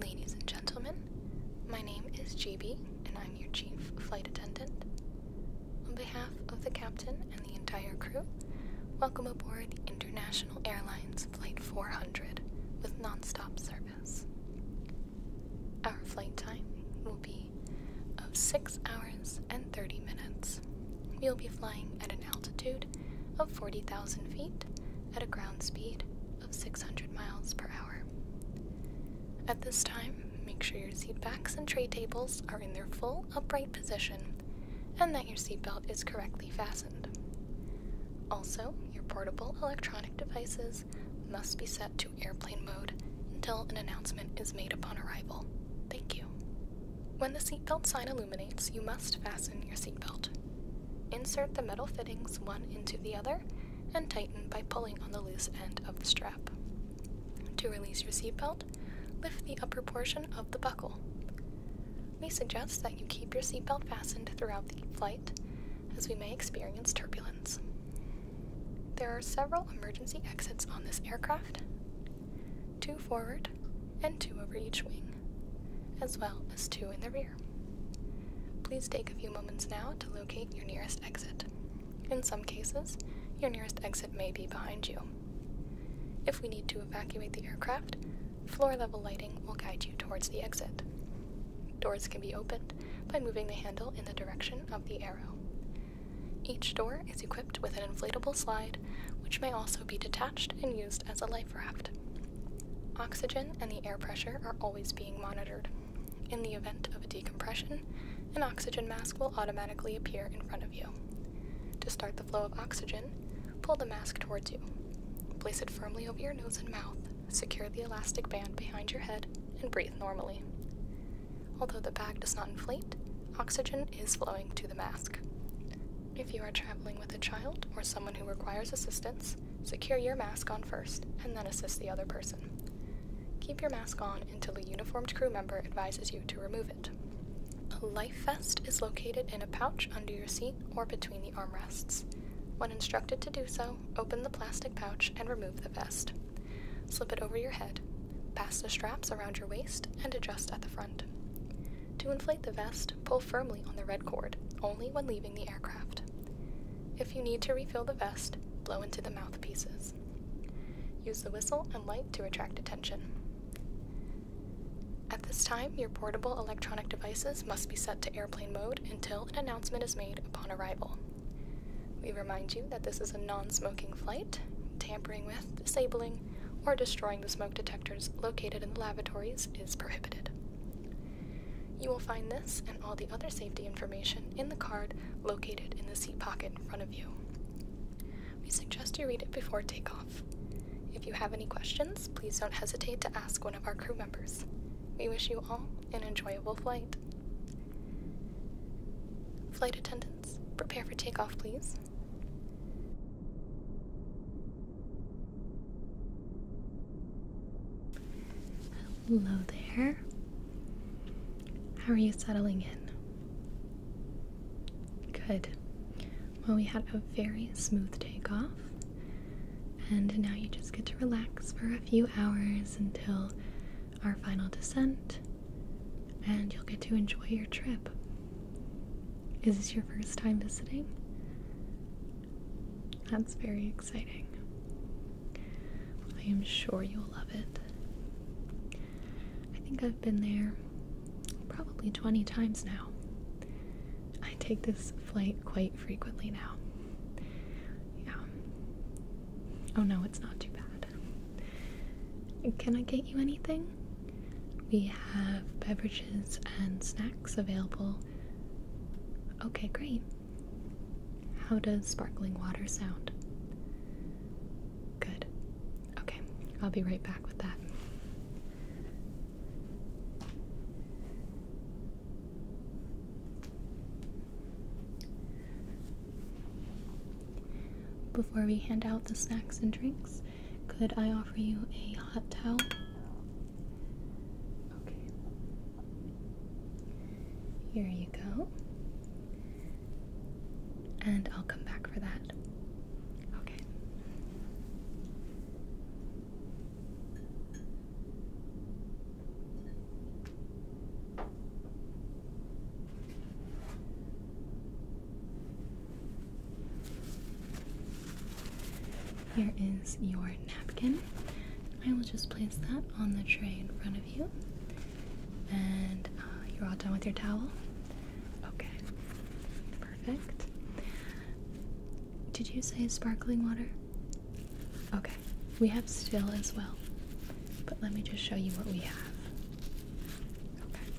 Ladies and gentlemen, my name is GB and I'm your chief flight attendant. On behalf of the captain and the entire crew, welcome aboard International Airlines Flight 400 with nonstop service. Our flight time will be of 6 hours and 30 minutes. We'll be flying at an altitude of 40,000 feet at a ground speed of 600 miles per hour. At this time, make sure your seat backs and tray tables are in their full upright position and that your seatbelt is correctly fastened. Also, your portable electronic devices must be set to airplane mode until an announcement is made upon arrival. Thank you. When the seatbelt sign illuminates, you must fasten your seatbelt. Insert the metal fittings one into the other and tighten by pulling on the loose end of the strap. To release your seatbelt, lift the upper portion of the buckle. We suggest that you keep your seatbelt fastened throughout the flight, as we may experience turbulence. There are several emergency exits on this aircraft two forward and two over each wing as well as two in the rear. Please take a few moments now to locate your nearest exit. In some cases, your nearest exit may be behind you. If we need to evacuate the aircraft, floor level lighting will guide you towards the exit. Doors can be opened by moving the handle in the direction of the arrow. Each door is equipped with an inflatable slide, which may also be detached and used as a life raft. Oxygen and the air pressure are always being monitored. In the event of a decompression, an oxygen mask will automatically appear in front of you. To start the flow of oxygen, pull the mask towards you. Place it firmly over your nose and mouth, secure the elastic band behind your head, and breathe normally. Although the bag does not inflate, oxygen is flowing to the mask. If you are traveling with a child or someone who requires assistance, secure your mask on first and then assist the other person. Keep your mask on until a uniformed crew member advises you to remove it. A life vest is located in a pouch under your seat or between the armrests. When instructed to do so, open the plastic pouch and remove the vest. Slip it over your head, pass the straps around your waist, and adjust at the front. To inflate the vest, pull firmly on the red cord, only when leaving the aircraft. If you need to refill the vest, blow into the mouthpieces. Use the whistle and light to attract attention. At this time, your portable electronic devices must be set to airplane mode until an announcement is made upon arrival. We remind you that this is a non smoking flight. Tampering with, disabling, or destroying the smoke detectors located in the lavatories is prohibited. You will find this and all the other safety information in the card located in the seat pocket in front of you. We suggest you read it before takeoff. If you have any questions, please don't hesitate to ask one of our crew members. We wish you all an enjoyable flight. Flight attendants, prepare for takeoff, please. Hello there. How are you settling in? Good. Well, we had a very smooth takeoff, and now you just get to relax for a few hours until our final descent, and you'll get to enjoy your trip. Is this your first time visiting? That's very exciting. I am sure you'll love it. I think I've been there probably 20 times now. I take this flight quite frequently now. Yeah. Oh no, it's not too bad. Can I get you anything? We have beverages and snacks available Okay, great. How does sparkling water sound? Good. Okay, I'll be right back with that. Before we hand out the snacks and drinks, could I offer you a hot towel Okay. Here you go. And I'll come back for that. Okay. Here is your napkin. I will just place that on the tray in front of you. And uh, you're all done with your towel? Okay, perfect. Did you say sparkling water? Okay, we have still as well. But let me just show you what we have. Okay.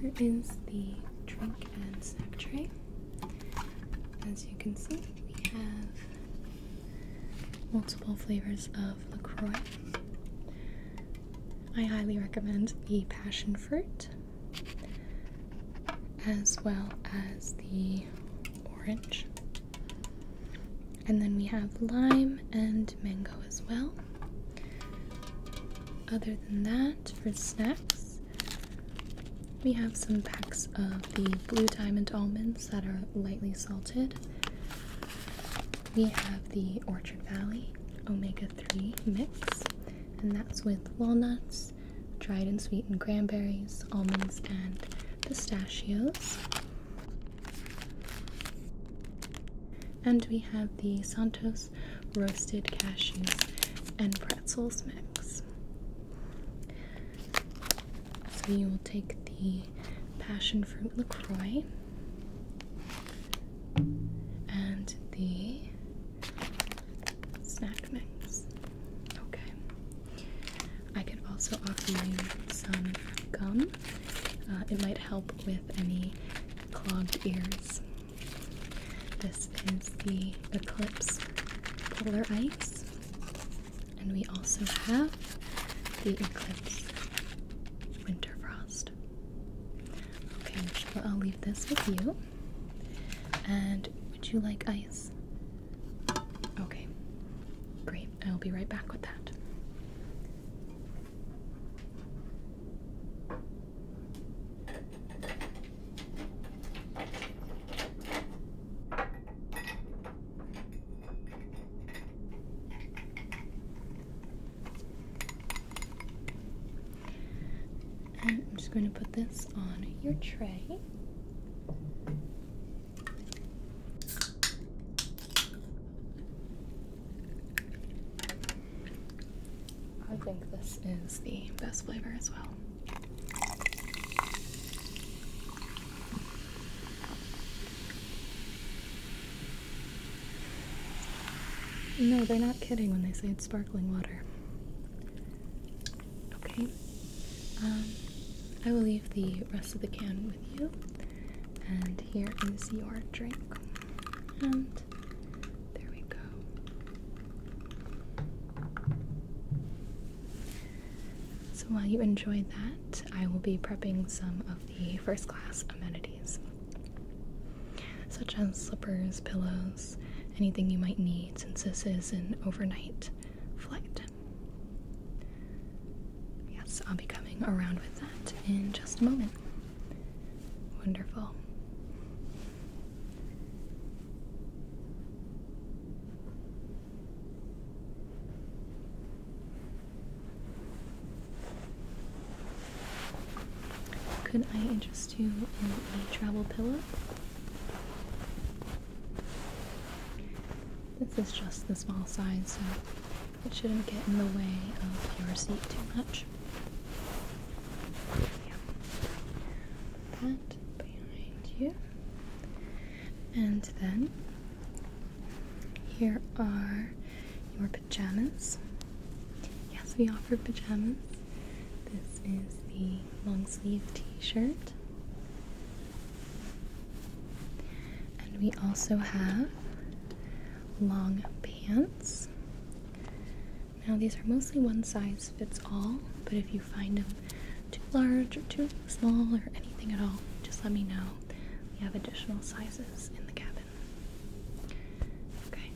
Here is the drink and snack tray. As you can see, we have multiple flavors of LaCroix. I highly recommend the passion fruit as well as the orange. And then we have lime and mango as well. Other than that, for snacks, we have some packs of the blue diamond almonds that are lightly salted. We have the Orchard Valley omega 3 mix, and that's with walnuts, dried and sweetened cranberries, almonds, and pistachios. And we have the Santos roasted cashews and pretzels mix. So you will take the passion fruit LaCroix and the snack mix. Okay. I could also offer you some gum. Uh, it might help with any clogged ears. This is the Eclipse Polar Ice, and we also have the Eclipse Winter Frost. Okay, I'll leave this with you. And would you like ice? Okay, great. I'll be right back with that. I'm just going to put this on your tray. I think this is the best flavor as well. No, they're not kidding when they say it's sparkling water. Okay, um, I will leave the rest of the can with you. And here is your drink. And there we go. So while you enjoy that, I will be prepping some of the first class amenities, such as slippers, pillows, anything you might need since this is an overnight flight. Yes, I'll be coming around with that in just a moment. Wonderful. Could I interest you in a travel pillow? This is just the small size, so it shouldn't get in the way of your seat too much. That behind you. And then here are your pajamas. Yes, we offer pajamas. This is the long sleeve t shirt. And we also have long pants. Now, these are mostly one size fits all, but if you find them too large or too small or anything at all, just let me know. We have additional sizes in the cabin. Okay,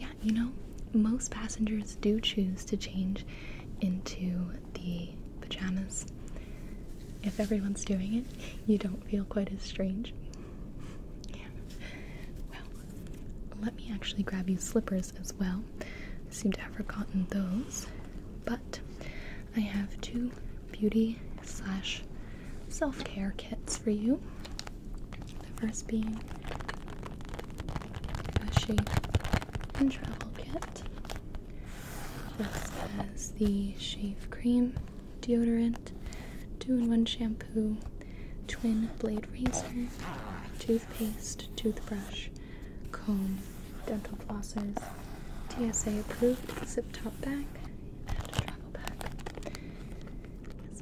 yeah, you know, most passengers do choose to change into the pajamas. If everyone's doing it, you don't feel quite as strange. Well, let me actually grab you slippers as well. I seem to have forgotten those, but I have two beauty slash self care kits for you. The first being a she and travel kit palette. Just has the shave cream, deodorant, two-in-one shampoo, twin blade razor, toothpaste, toothbrush, comb, dental flosses, TSA approved zip top bag, and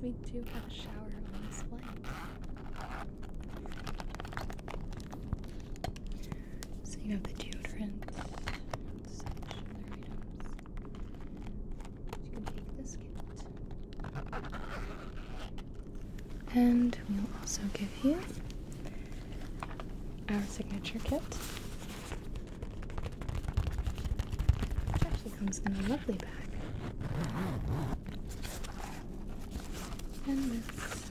we do have a shower on this flight, So you have the deodorant, and we'll also give you our signature kit. which actually comes in a lovely bag. And this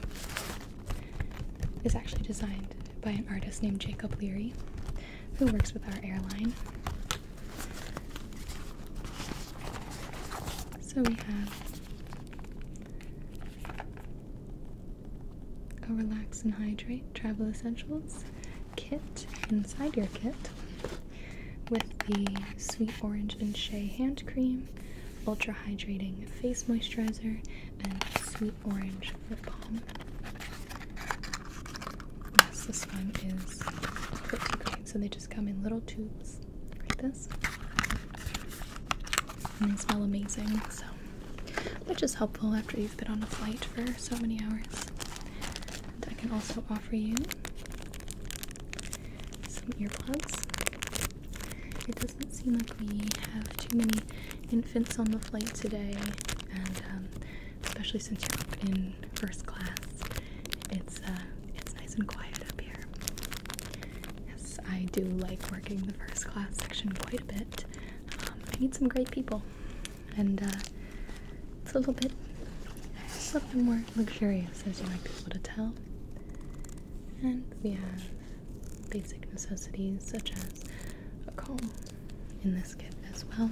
is actually designed by an artist named Jacob Leary, who works with our airline. So we have a relax and hydrate travel essentials kit inside your kit with the sweet orange and shea hand cream, ultra hydrating face moisturizer, and Orange Lip Balm. Yes, this one is pretty great. So they just come in little tubes like this. And they smell amazing, so which is helpful after you've been on a flight for so many hours. I can also offer you some earplugs. It doesn't seem like we have too many infants on the flight today, and um, especially since you're up in first class, it's uh, it's nice and quiet up here. Yes, I do like working the first class section quite a bit. Um, I meet some great people, and uh, it's a little bit a little bit more luxurious, as you might be able to tell. And we have basic necessities such as a comb in this kit as well,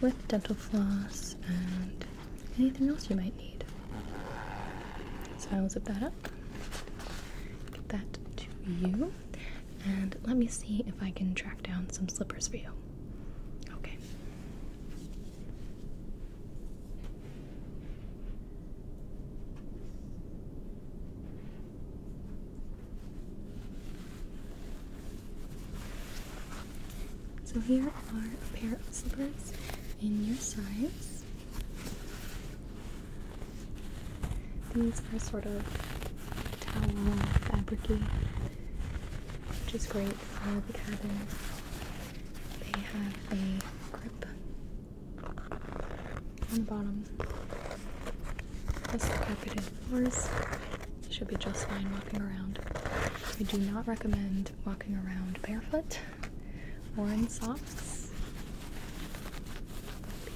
with dental floss and anything else you might need. So I'll zip that up, get that to you, and let me see if I can track down some slippers for you. Okay. So here are a pair of slippers in your size. These are sort of towel fabricy, which is great for the cabin. They have a grip on the bottom. Plus the carpeted floors should be just fine walking around. I do not recommend walking around barefoot or in socks.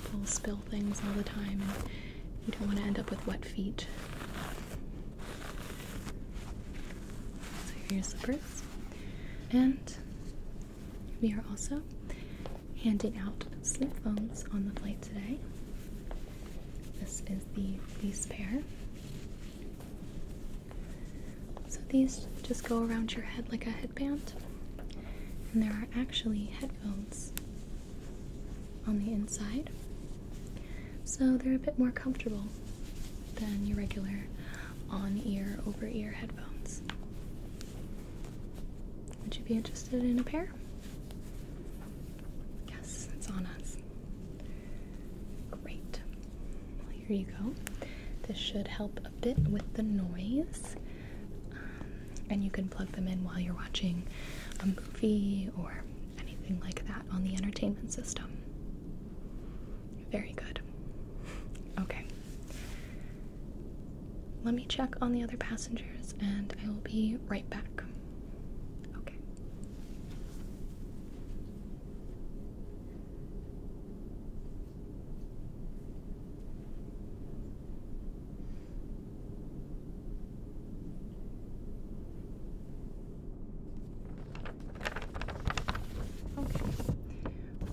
People spill things all the time and you don't want to end up with wet feet. So here's the slippers. And we are also handing out sleep phones on the flight today. This is the fleece pair. So these just go around your head like a headband, and there are actually headphones on the inside. So they're a bit more comfortable than your regular on ear, over ear headphones. Would you be interested in a pair? Yes, it's on us. Great. Well, here you go. This should help a bit with the noise. Um, and you can plug them in while you're watching a movie or anything like that on the entertainment system. Very good. Okay. Let me check on the other passengers and I will be right back. Okay. Okay.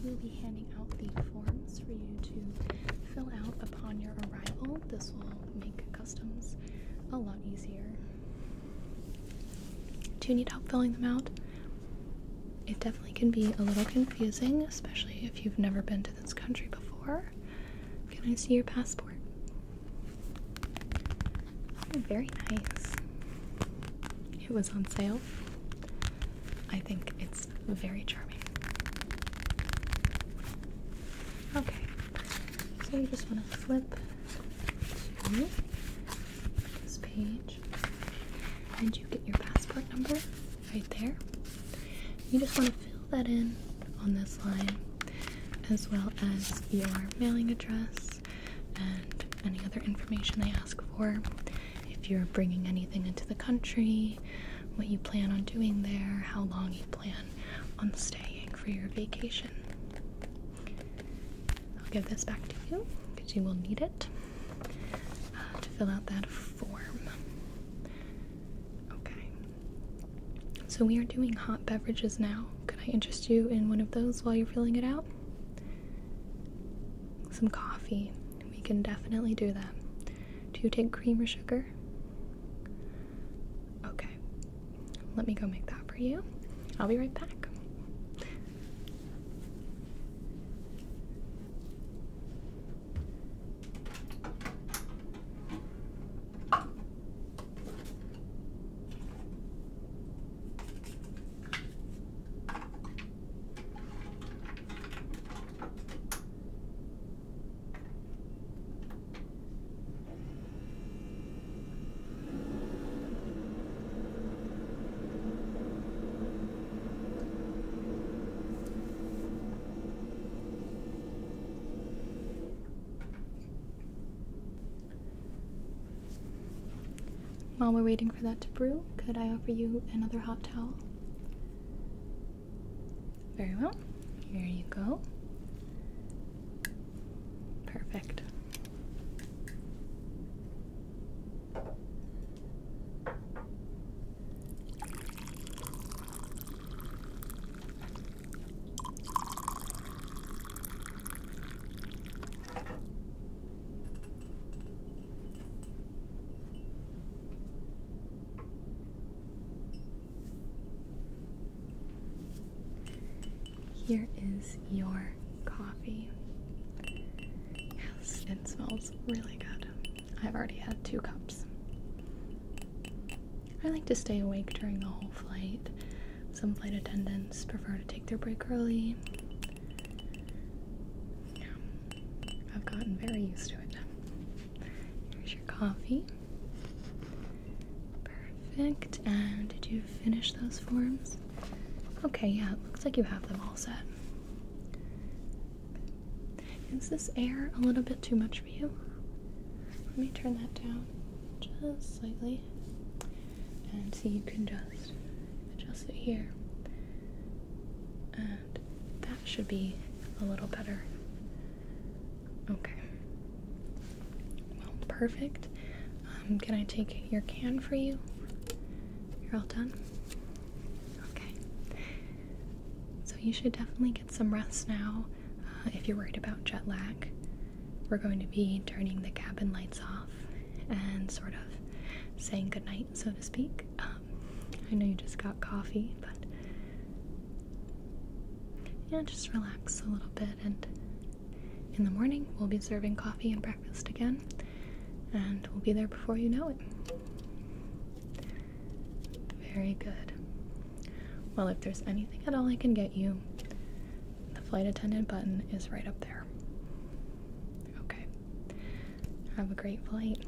We'll be handing out the forms for you to fill out upon your arrival. This will make customs a lot easier. Do you need help filling them out? It definitely can be a little confusing, especially if you've never been to this country before. Can I see your passport? Oh, very nice. It was on sale. I think it's very charming. Okay, so you just want to flip to this page, and you get your passport number right there. You just want to fill that in on this line, as well as your mailing address and any other information they ask for. If you're bringing anything into the country, what you plan on doing there, how long you plan on staying for your vacation. I'll give this back to you because you will need it uh, to fill out that form. Okay. So we are doing hot beverages now. Could I interest you in one of those while you're filling it out? Some coffee. We can definitely do that. Do you take cream or sugar? Okay, let me go make that for you. I'll be right back. While we're waiting for that to brew, could I offer you another hot towel? Very well. Here you go. Perfect. Here is your coffee. Yes, it smells really good. I've already had two cups. I like to stay awake during the whole flight. Some flight attendants prefer to take their break early. I've gotten very used to it. Here's your coffee. Perfect. And did you finish those forms? Okay, yeah, looks like you have them all set. Is this air a little bit too much for you? Let me turn that down just slightly. And see, you can just adjust it here. And that should be a little better. Okay. Well, perfect. Um, can I take your can for you? You're all done? Okay. So you should definitely get some rest now uh, if you're worried about jet lag. We're going to be turning the cabin lights off and sort of saying goodnight, so to speak. Um, I know you just got coffee, but yeah, just relax a little bit. And in the morning, we'll be serving coffee and breakfast again. And we'll be there before you know it. Very good. Well, if there's anything at all I can get you, the flight attendant button is right up there. Okay. Have a great flight.